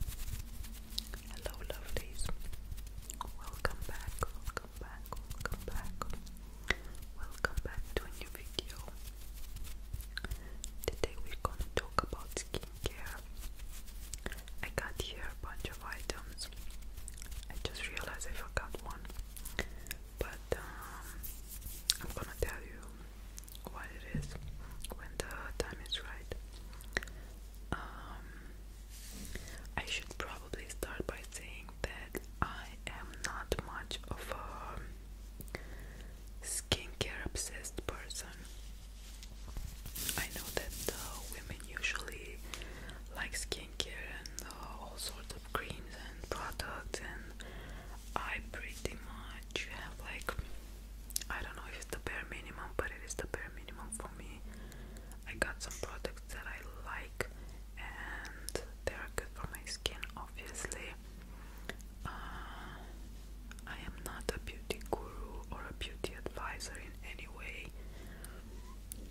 Hello, lovelies. Welcome back, welcome back, welcome back. Welcome back to a new video. Today we're gonna talk about skincare. I got here a bunch of items. I just realized I forgot one, but um, I'm gonna tell you what it is when the time is right. Um, I should probably start by saying that I am not much of a skincare obsessed person. I know that uh, women usually like skincare and uh, all sorts of creams and products, and I pretty much. I don't know if it's the bare minimum, but it is the bare minimum for me. I got some products that I like and they are good for my skin, obviously. Uh, I am not a beauty guru or a beauty advisor in any way.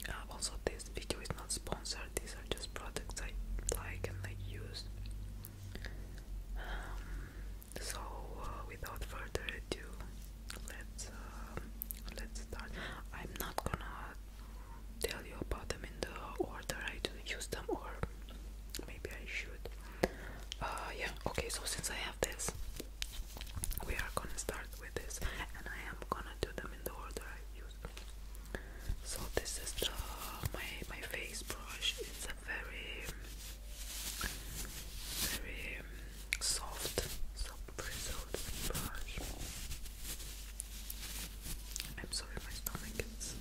Uh, also, this video is not sponsored, these are just products I like and I use. Um, so uh, without further ado, let's uh, let's start. I'm not gonna tell you about them in the order I do use them, or maybe I should. Uh, yeah. Okay. So since I have this, we are gonna start with this, and I am gonna do them in the order I use. So this is the my my face brush very, very um, soft, soft bristled I'm sorry, my stomach is.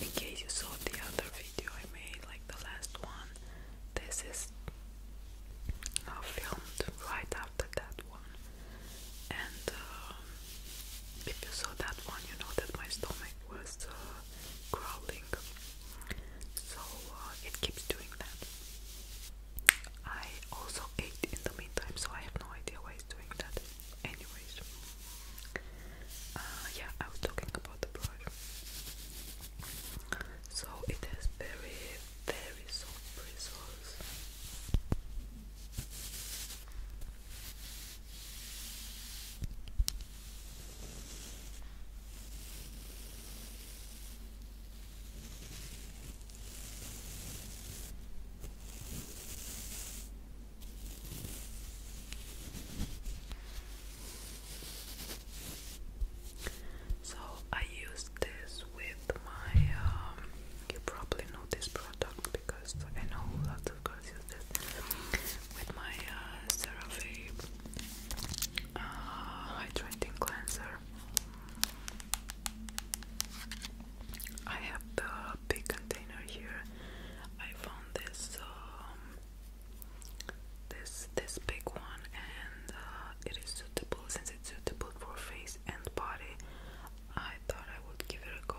In case you saw the other video I made, like the last one, this is now uh, filmed right after that one. And um, if you saw that one, you know that my stomach was. Uh, growling, so uh, it keeps doing that. I also ate in the meantime, so I have no idea why it's doing that. Anyways, uh, yeah, I was talking about the brush. So it has very, very soft bristles. So I used this with my um, you probably know this product because I know a lot to use this with my uh, CeraVe uh, hydrating cleanser. I have the big container here. I found this um, this this big one, and uh, it is suitable since it's suitable for face and body. I thought I would give it a go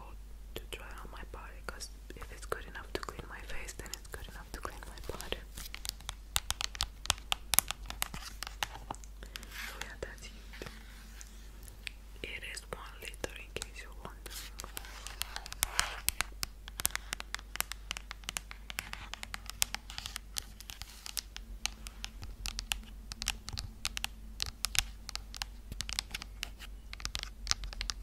to try on my body because if it's good enough to clean my face, then that's good enough to clean my pot. So oh, yeah, that's it. It is one liter in case you're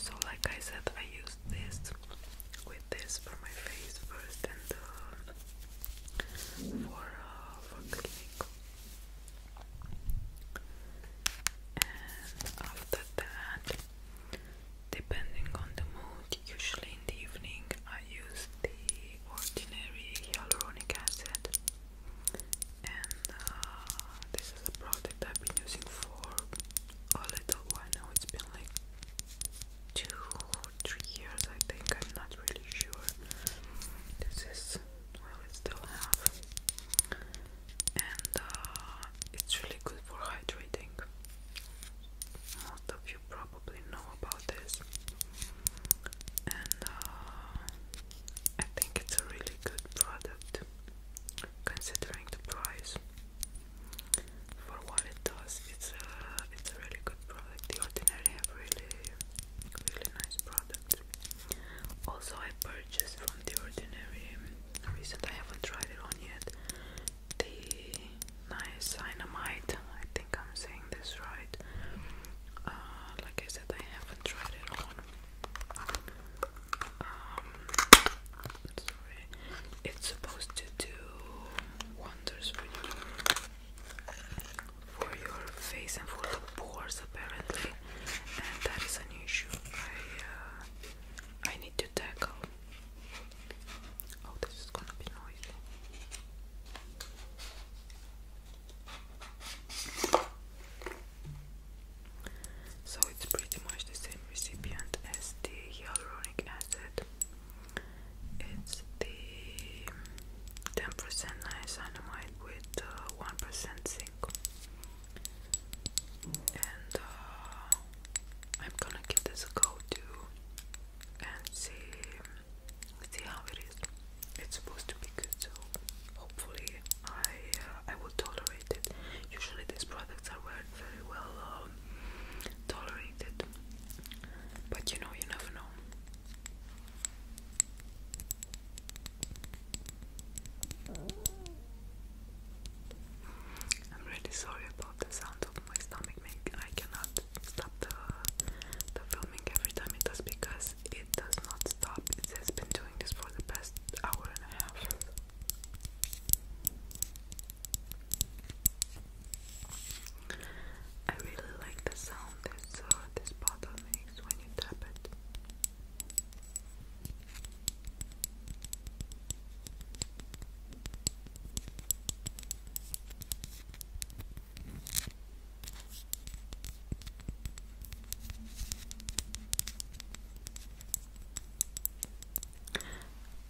So, like I said, I used this with this for my face first and uh, for, uh, for clinic. And after that, depending on the mood, usually in the evening, I use the ordinary hyaluronic acid and uh, this is a product I've been using for a little while now it's been like two or three years I think I'm not really sure this is well it still have and uh, it's really good for hydrating most of you probably know about this, and uh, I think it's a really good product considering the price for what it does. It's a it's a really good product. The Ordinary have really really nice product. Also, I purchased from the Ordinary recent. I haven't tried it on yet. The nice dynamite. I think I'm saying this right. Uh, like I said, I haven't tried it on. Um, sorry, it's supposed to do wonders for your face and for your pores apparently, and that is an issue. I uh, I need to tackle. Oh, this is gonna be noisy. So it's pretty much the same recipient as the hyaluronic acid. It's the 10% niacinamide with 1% uh, zinc. And uh, I'm gonna give this a go too and see see how it is. It's supposed to be good, so hopefully I uh, I will tolerate it. Usually these products are very well um, tolerated, but you know you never know. I'm really sorry about the sound of my stomach. Make I cannot stop the the filming every time it does because it does not stop. It has been doing this for the past hour and a half. I really like the sound this this bottle makes when you tap it.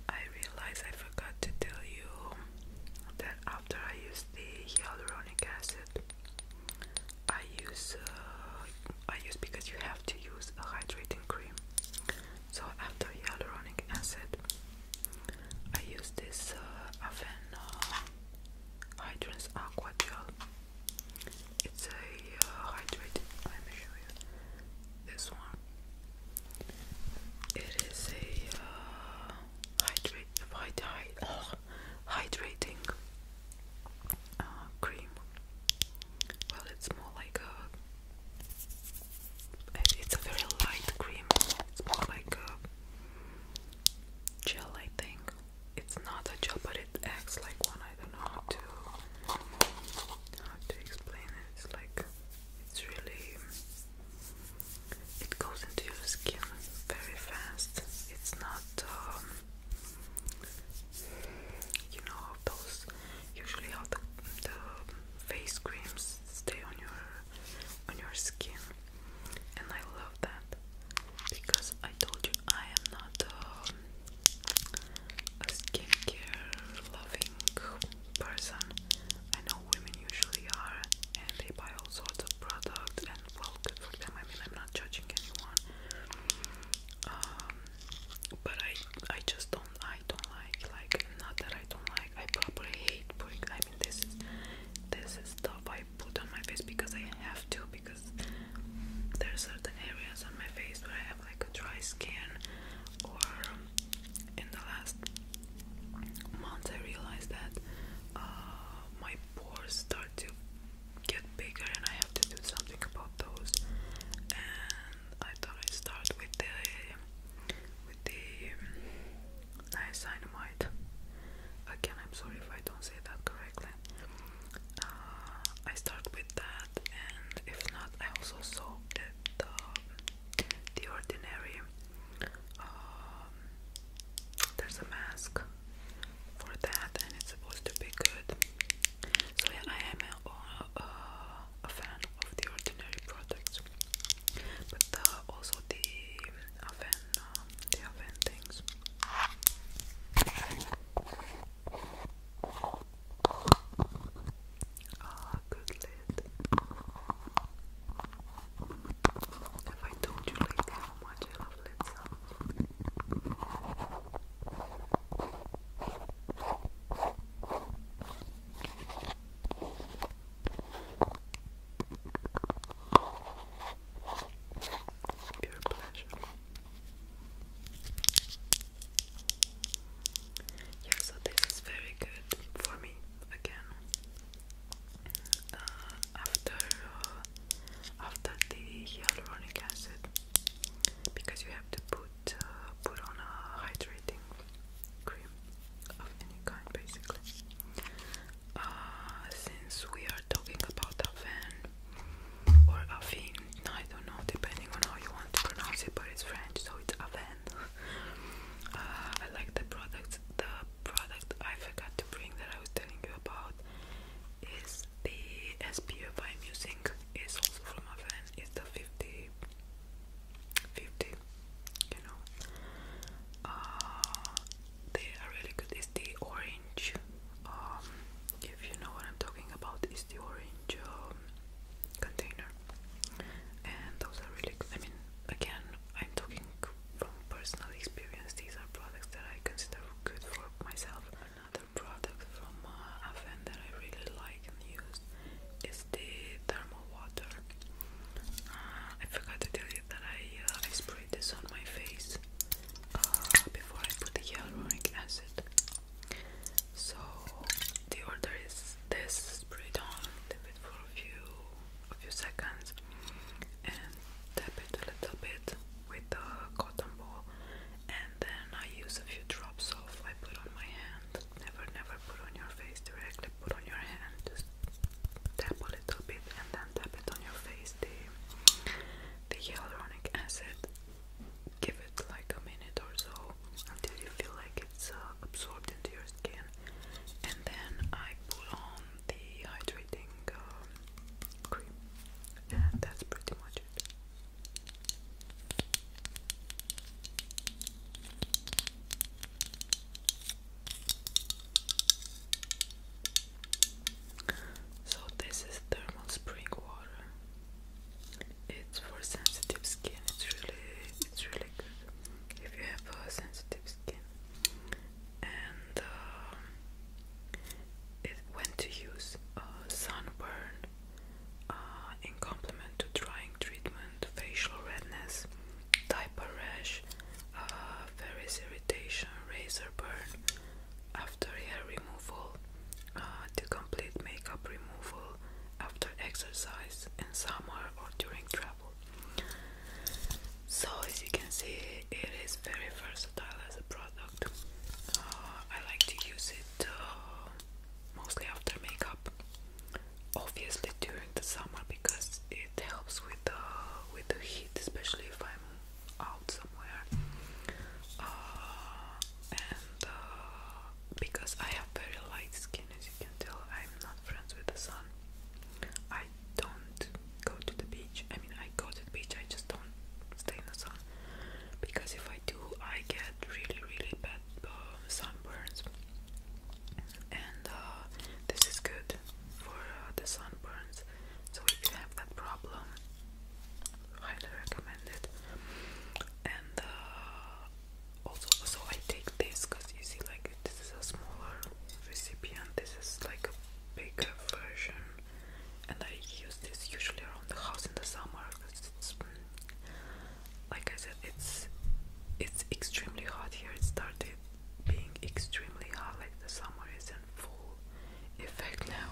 I realize I forgot to tell you that after I use the hyaluronic acid, I use uh, I use because you have to use a hydrating cream. So after hyaluronic acid, I use this uh, oven uh, aqua gel. It's a uh, hydrated. Let me show you this one. It is a uh, hydrate, hydrating uh, cream. Well, it's more like a. It's a very light cream. It's more like a gel I think it's not a gel but it acts like one I don't know how to how to explain it it's like it's really it goes into your skin very fast it's not um, you know those usually how the, the face creams stay on your on your skin and I love that because I told you I am not um, a skincare loving person. I know women usually are, and they buy all sorts of products, and well, good for them. I mean, I'm not judging anyone, um, but I I just don't I don't like like not that I don't like I probably hate putting I this is this is stuff I put on my face because I have to because there are certain areas on my face where I have like a dry skin or in the last months I realized that uh, my pores start to get bigger and I have to do something about those and I thought i start with the with the um, niacinamide. Again, I'm sorry if I don't say that correctly. Uh, I start with that, and if not, I also saw that the, ordinary. Um, there's a mask for that, and it's supposed to be good. So yeah, I am a uh, fan of the ordinary products but uh, also the oven, um, the oven things. Ah, good lid. If I told you like how much I love lid Pure Yeah, so this is very good for me again. Uh, after uh, after the hyaluronic acid, because you have to put uh, put on a hydrating cream of any kind, basically. Uh, since we are talking about a Aven or a Avin, I don't know, depending on how you want to pronounce it, but it's French, so it's a uh, I like the product. The product I forgot to bring that I was telling you about is the SPF I'm using. It's also from Aven. It's the 50 50 you know uh, they are really good it's the orange um, if you know what I'm talking about is the orange um, container and those are really good I mean again I'm talking from personal experience these are products that I consider good for myself another product from uh, Aven that I really like and use is the thermal water. Uh, I forgot to tell you that I, uh, I sprayed this on my face uh, before I put the hyaluronic acid. So the order is this spray it on, leave it for a few a few seconds and tap it a little bit with the cotton ball and then I use a few drops of I put on my hand Never, never put on your face directly, put on your hand, just tap a little bit and then tap it on your face, the, the hyaluronic acid. Give it like a minute or so until you feel like it's uh, absorbed into your skin. And then I put on the hydrating um, cream. And that's pretty much it. So this is thermal spring water. It's for sensitive skin. It's really it's really good if you have a sensitive skin. And um, it when to use sunburn uh, in complement to drying treatment facial redness, diaper rash, uh, various irritation, razor burn after hair removal, uh, to complete makeup removal after exercise in summer or during travel. So as you can see, it is very versatile as a product. Uh, I like to use it uh, mostly after makeup obviously during the summer because it helps with the with the heat, especially if I'm out somewhere. Uh, and uh, because I have very light skin, as you can tell, I'm not friends with the sun. I don't go to the beach. I mean, I go to the beach. I just don't stay in the sun because if I do, I get really, really bad uh, sunburns and uh, this is good for uh, the sunburns. So if you have that problem, highly recommend it. And uh, also, so I take this because you see, like this is a smaller recipient. This is like a bigger version, and I use this usually around the house in the summer like I said, it's it's extremely hot here. It started being extremely hot, like the summer is in full effect now,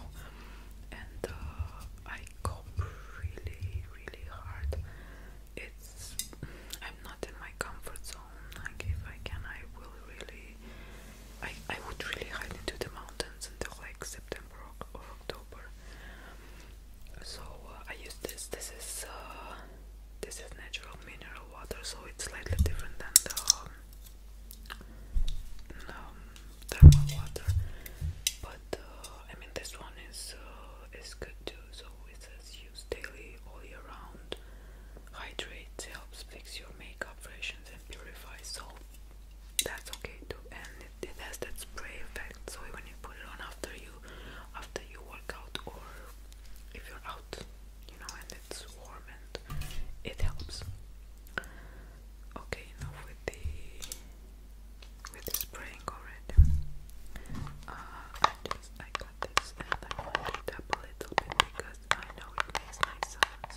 and uh, I cope really, really hard. It's I'm not in my comfort zone. Like if I can, I will really. I I would really hide into the mountains until like September or October. So uh, I use this. This is uh, this is natural mineral water, so it's slightly different than the um, um thermal water. But uh, I mean, this one is is good too. So it says use daily all year round. Hydrates, helps fix your makeup, freshens, and purifies. So that's okay too it has that spray effect so even you put it on after you after you work out or if you're out you know and it's warm and it helps okay enough with the with spraying already uh, I just I got this and I want to a little bit because I know it makes nice sounds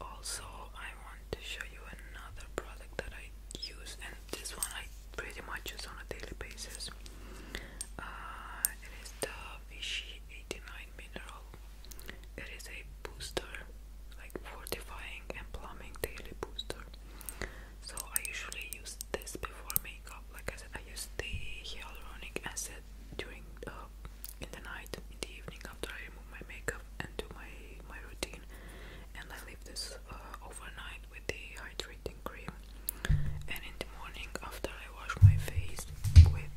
also I want to show you another product that I use and this one I pretty much use on a daily basis uh, it is the Vichy 89 mineral it is a booster like fortifying and plumbing daily booster so I usually use this before makeup like I said I use the hyaluronic acid during uh, in the night, in the evening after I remove my makeup and do my my routine, and I leave this uh, overnight with the hydrating cream, and in the morning after I wash my face with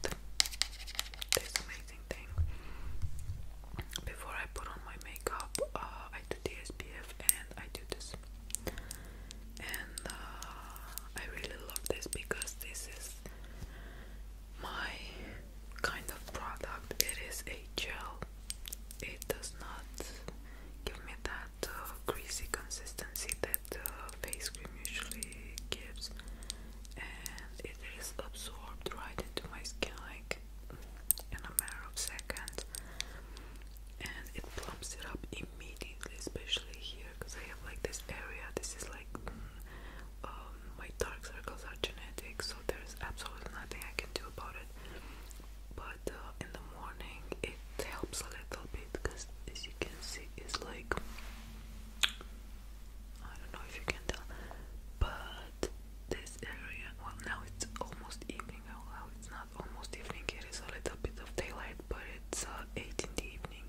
this amazing thing. Before I put on my makeup, uh, I do the SPF and I do this. And I really love this because this is my kind of product. It is a gel. It does not give me that uh, greasy consistency that uh, face cream usually gives, and it is absorbed right into my skin like in a matter of seconds, and it plumps it up immediately, especially here because I have like this area. This is like um, my dark circles are genetic, so there's absolutely nothing I can do about it. But uh, in the morning, it helps a little bit because, as you can see, it's like I don't know if you can tell, but this area. Well, now it's almost evening. Well, it's not almost evening. It is a little bit of daylight, but it's uh, eight in the evening.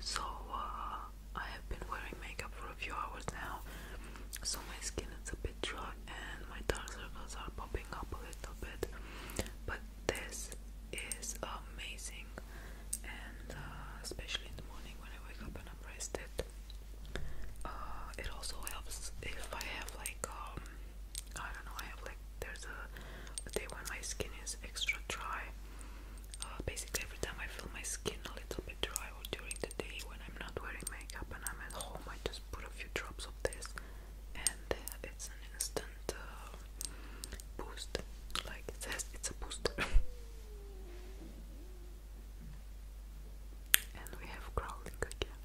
So uh, I have been wearing makeup for a few hours now, so my skin is a bit dry and my dark circles are popping up a little bit. But this is amazing, and uh, especially in the morning when I wake up and I'm rested. Uh, it also helps if I have like um, I don't know, I have like there's a day when my skin is extra dry. Uh, basically, every time I feel my skin a little bit dry or during the day when I'm not wearing makeup and I'm at home, I just put a few drops of this, and uh, it's an instant uh, boost. Like it says, it's a booster. and we have growling again.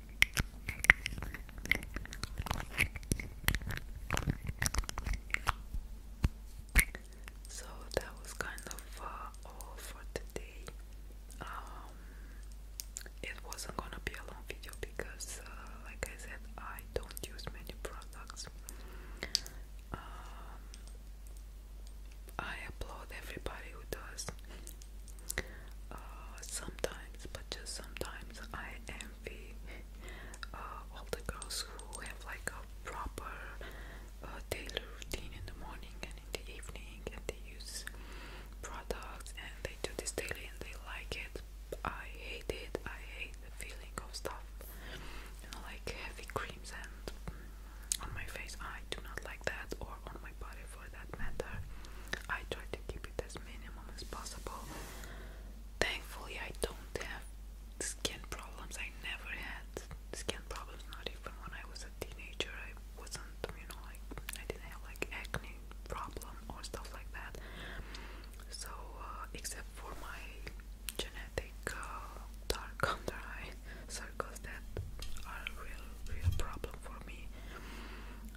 So that was kind of uh, all for today. Um, it wasn't gonna be a long video because, uh, like I said, I don't use many products. Um, I applaud everybody who does. Uh, sometimes, but just sometimes, I envy uh, all the girls who have like a proper uh, daily routine in the morning and in the evening, and they use products and they do this daily and they like it. I hate it. I hate the feeling of stuff, like heavy creams and on my face. I do not like that, or on my my for that matter. I try to keep it as minimum as possible. Thankfully, I don't have skin problems. I never had skin problems, not even when I was a teenager. I wasn't, you know, like I didn't have like acne problem or stuff like that. So, uh, except for my genetic uh, dark under eye, circles that are a real, real problem for me.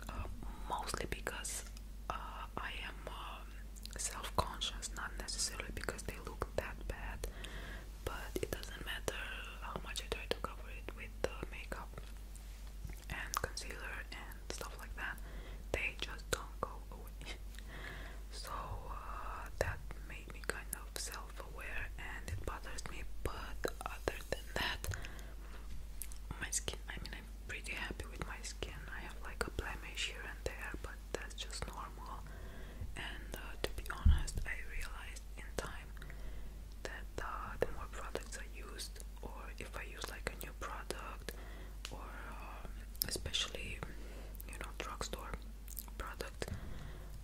Uh, mostly because uh, I am um, self-conscious, not necessarily because they look that bad, but it doesn't matter how much I try to cover it with uh, makeup and concealer and stuff like that. They just don't go away. so uh, that made me kind of self self and it bothers me but other than that my skin I mean I'm pretty happy with my skin I have like a blemish here and there but that's just normal and uh, to be honest I realized in time that uh, the more products I used or if I use like a new product or um, especially you know drugstore product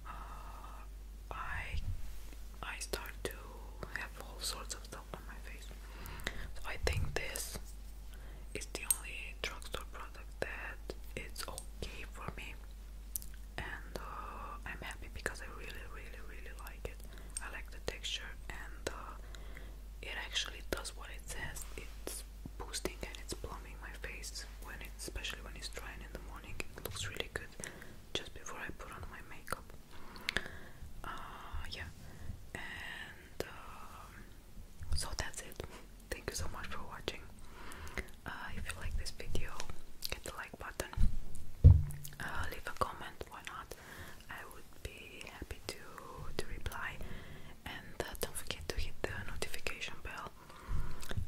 uh, I I start to have all sorts of stuff on my face. So I think this is the only drugstore product that it's okay for me, and uh, I'm happy because I really, really, really like it. I like the texture, and uh, it actually does what it says. It's boosting and it's plumping my face when it's especially when it's dry in the morning. It looks really good just before I put on my makeup. Uh, yeah, and um, so that's it. Thank you so much for watching. Uh, if you like this video, hit the like button, uh, leave a comment, why not? I would be happy to, to reply. And don't forget to hit the notification bell.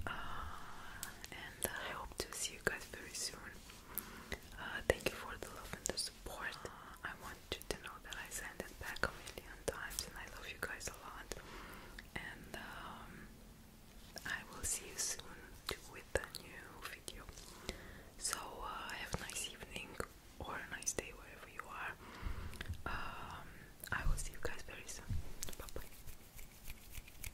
and I hope to see you guys very soon. Uh, thank you for the love and the support. I want you to know that I send it back a million times and I love you guys a lot. And um, I will see you soon with a new video. So uh, have a nice evening or a nice day wherever you are. Um, I will see you guys very soon. Bye bye.